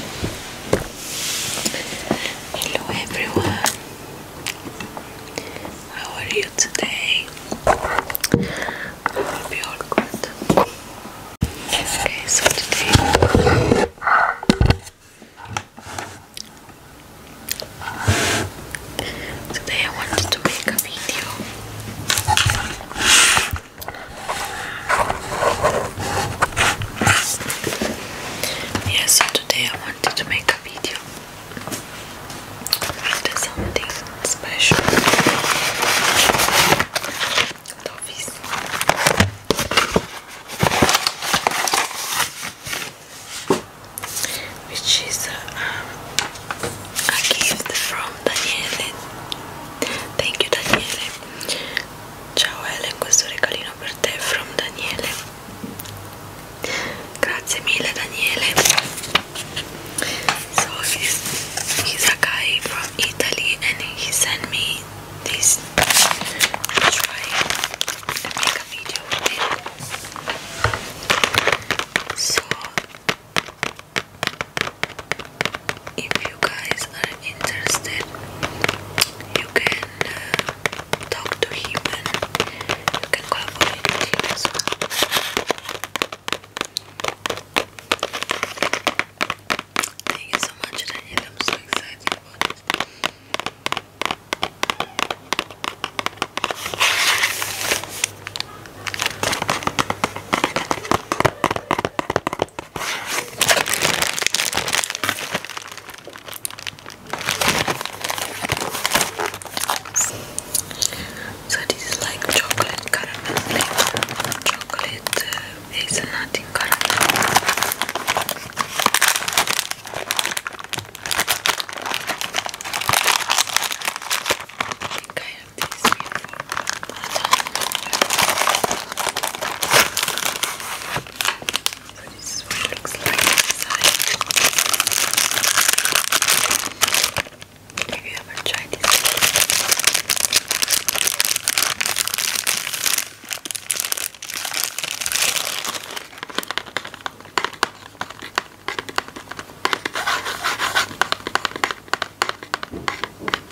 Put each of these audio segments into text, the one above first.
Hello everyone, how are you today? I hope you're all good. Okay, so today today I wanted to make a video yeah, so today I wanted to make a video after something special. Which is uh, um, a gift from Daniele. Thank you, Daniele. Ciao Helen, questo regalino per te from Daniele. Grazie mille Daniele. So he's, he's a guy from Italy and he sent me this. I'll try and make a video with it. So if you guys are interested you can uh, talk to him and collaborate with him thank you so much Daniel I'm so excited about it so this is like chocolate caramel flavor, chocolate uh, hazelnut in caramel. I think I so this is what it looks like inside. Have you ever tried this?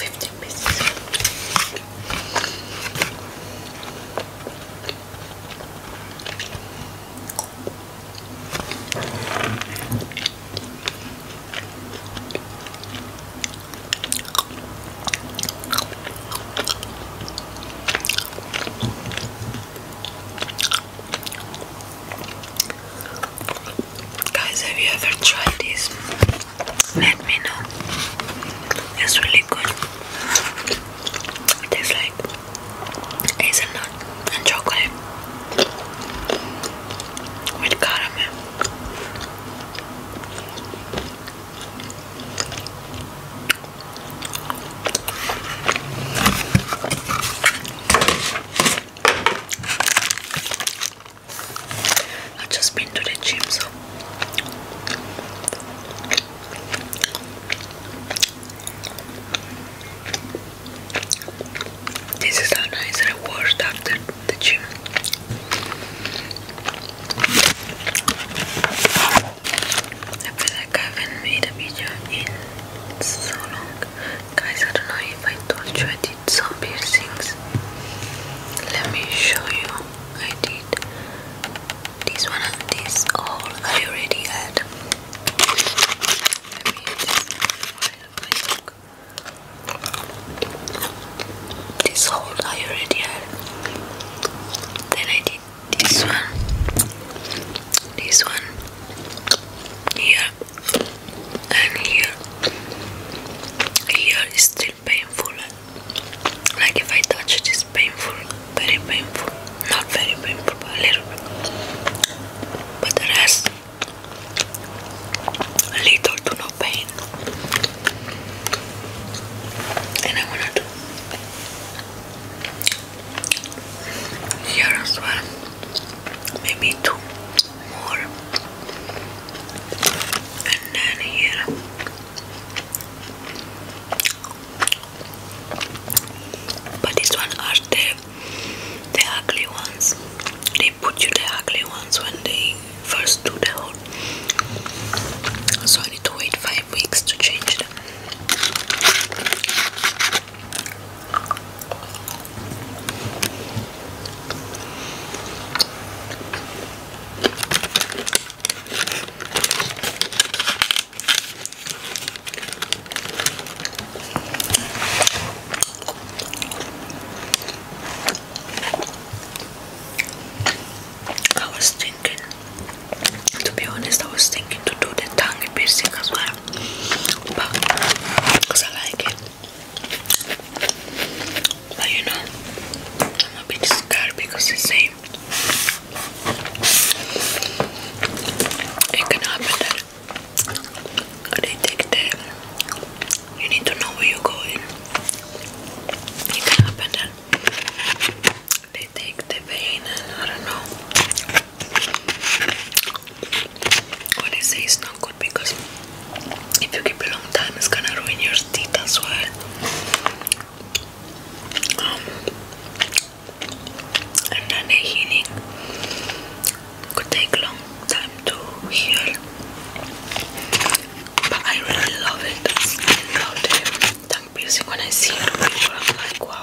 Fifteen pieces. Guys, have you ever tried this? let me know. It's really good. It tastes like hazelnut and chocolate with caramel. I just been to the gym, so this is how nice reward after the gym. I feel like I haven't made a video in so long. Guys, I don't know if I told some piercings. Let me show you. I did this one this all I already had. Let this hole I already had. Then I did this one, this one, here, and here here is still painful like if I touch it's painful very painful not very painful but a little but the rest little to no pain and I wanna here as well maybe two more. And then here but these one are the the ugly ones. They put you the ugly ones when they first do the whole so I need to wait five weeks to change them. I was thinking, to be honest, I was thinking to do the tongue piercing as well, because I like it. But you know, I'm a bit scared because it's same. It can happen that they take the. You need to know where you're going. It can happen that they take the vein and I don't know. Honestly, it's not good because if you keep a long time, it's gonna ruin your teeth as well. Um, and then the healing could take long time to heal, but I really love it. I love the when I see it. People, like, wow.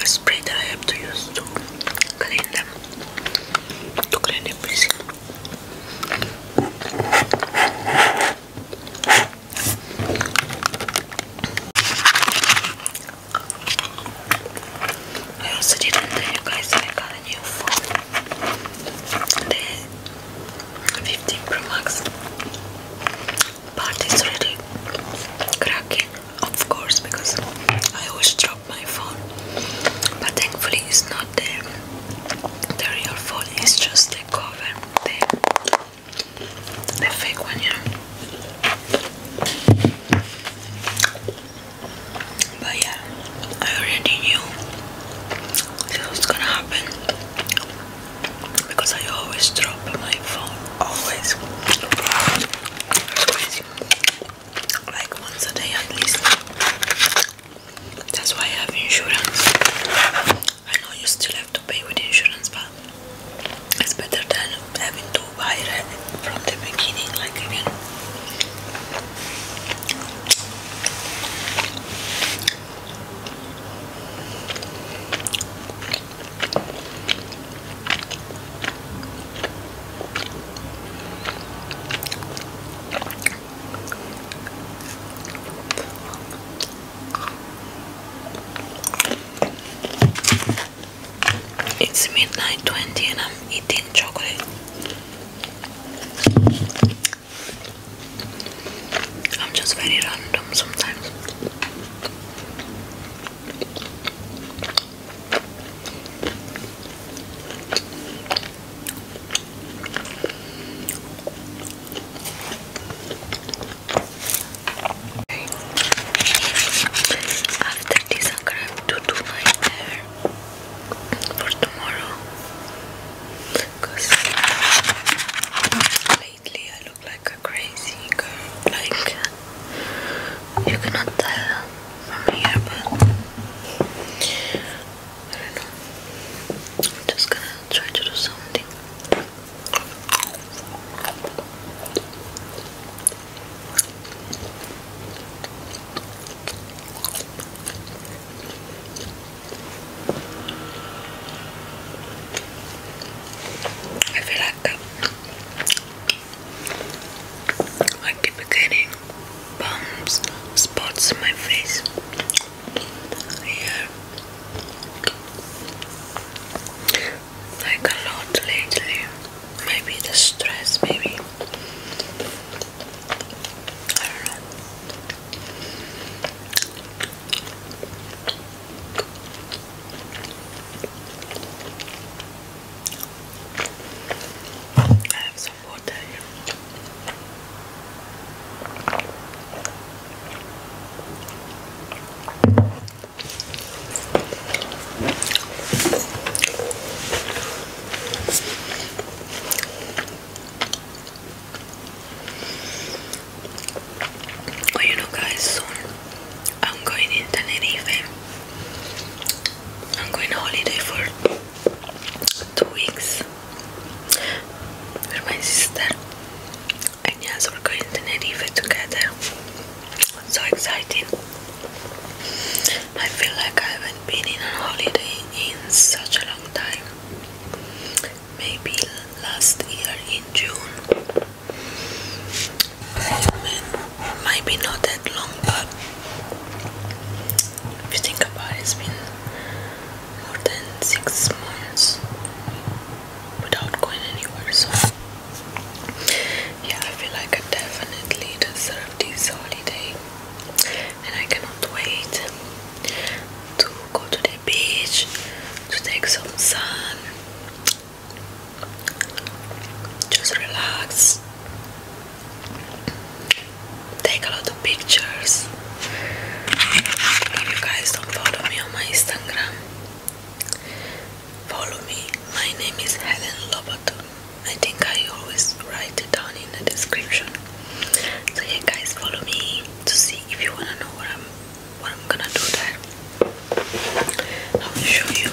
the spray that I have to use to clean them, to clean everything. I also didn't tell you guys I got a new phone, the 15 Pro Max, but it's cracking of course, because I always drop my phone. But thankfully, it's not there. The real phone is just the cover, the, fake one, yeah. But yeah, I already knew this was gonna happen because I always drop my phone. Always like once a day at least. That's why I have insurance. I know you still have to pay with insurance, but it's better than having to buy it from the beginning, like again. It's midnight 20 and I'm eating chocolate. I'm just very random sometimes. After this, I'm gonna do my hair for tomorrow because lately I look like a crazy girl. Like, you cannot tell from here, but I don't know. just try to do something. I feel like I keep getting bumps, spots in my face. Yeah. Like a lot lately. Maybe the stress, maybe. I have some water here you know, guys, I'm going to Tenerife. I'm going holiday for two weeks with my sister, and yes, we're going to Tenerife together. so exciting! I feel like I haven't been in holiday in such a long time. Maybe last year in June. I maybe not that long, but if you think about it, it's been more than six months without going anywhere. So, yeah, I feel like I definitely deserve these holidays, and I cannot wait to go to the beach to take some sun just relax. Take a lot of pictures. If you guys don't follow me on my Instagram, follow me. My name is Helen Lobato. I think I always write it down in the description. So yeah, guys, follow me to see if you wanna know what I'm what I'm gonna do that I will show you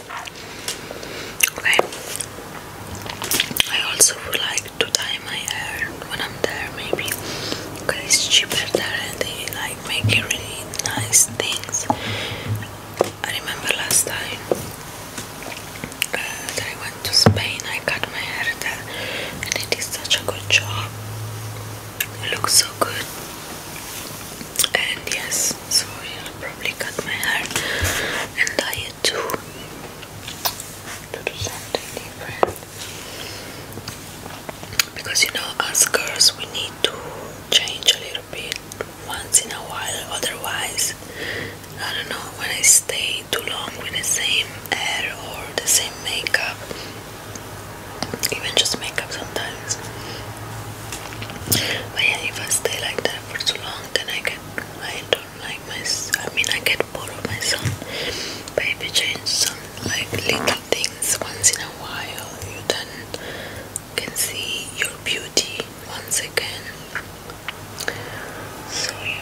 Okay. I also would like to dye my hair when I'm there, maybe because it's cheaper there and they like make really nice things. I remember last time uh, that I went to Spain, I cut my hair there, and they did such a good job. It looks so good. And yes, so I'll probably cut my hair and I had to, to something different because you know as girls we need to change a little bit once in a while otherwise I don't know when I stay too long with the same hair or the same makeup even just makeup sometimes but yeah if I stay like that for too long long I get I don't like myself. I mean I get bored of myself. But if you change some like little things once in a while, you then can see your beauty once again. So yeah.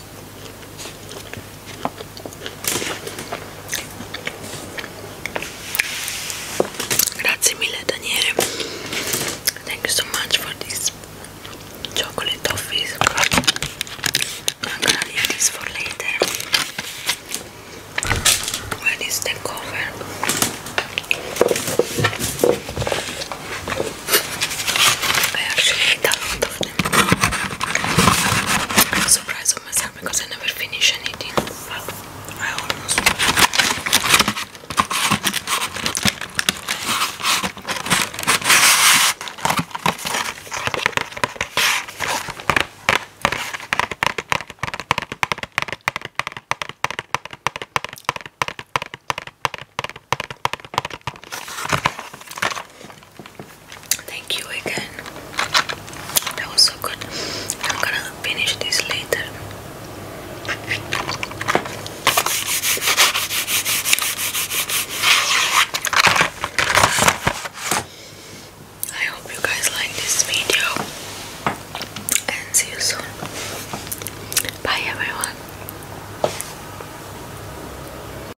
Thank you so much for this chocolate toffees. I'm gonna leave this for later. Where is the cover? I actually ate often. I'm surprised of myself because I never finish anything. Thank you again. That was so good. I'm gonna finish this later. I hope you guys like this video and see you soon. Bye everyone.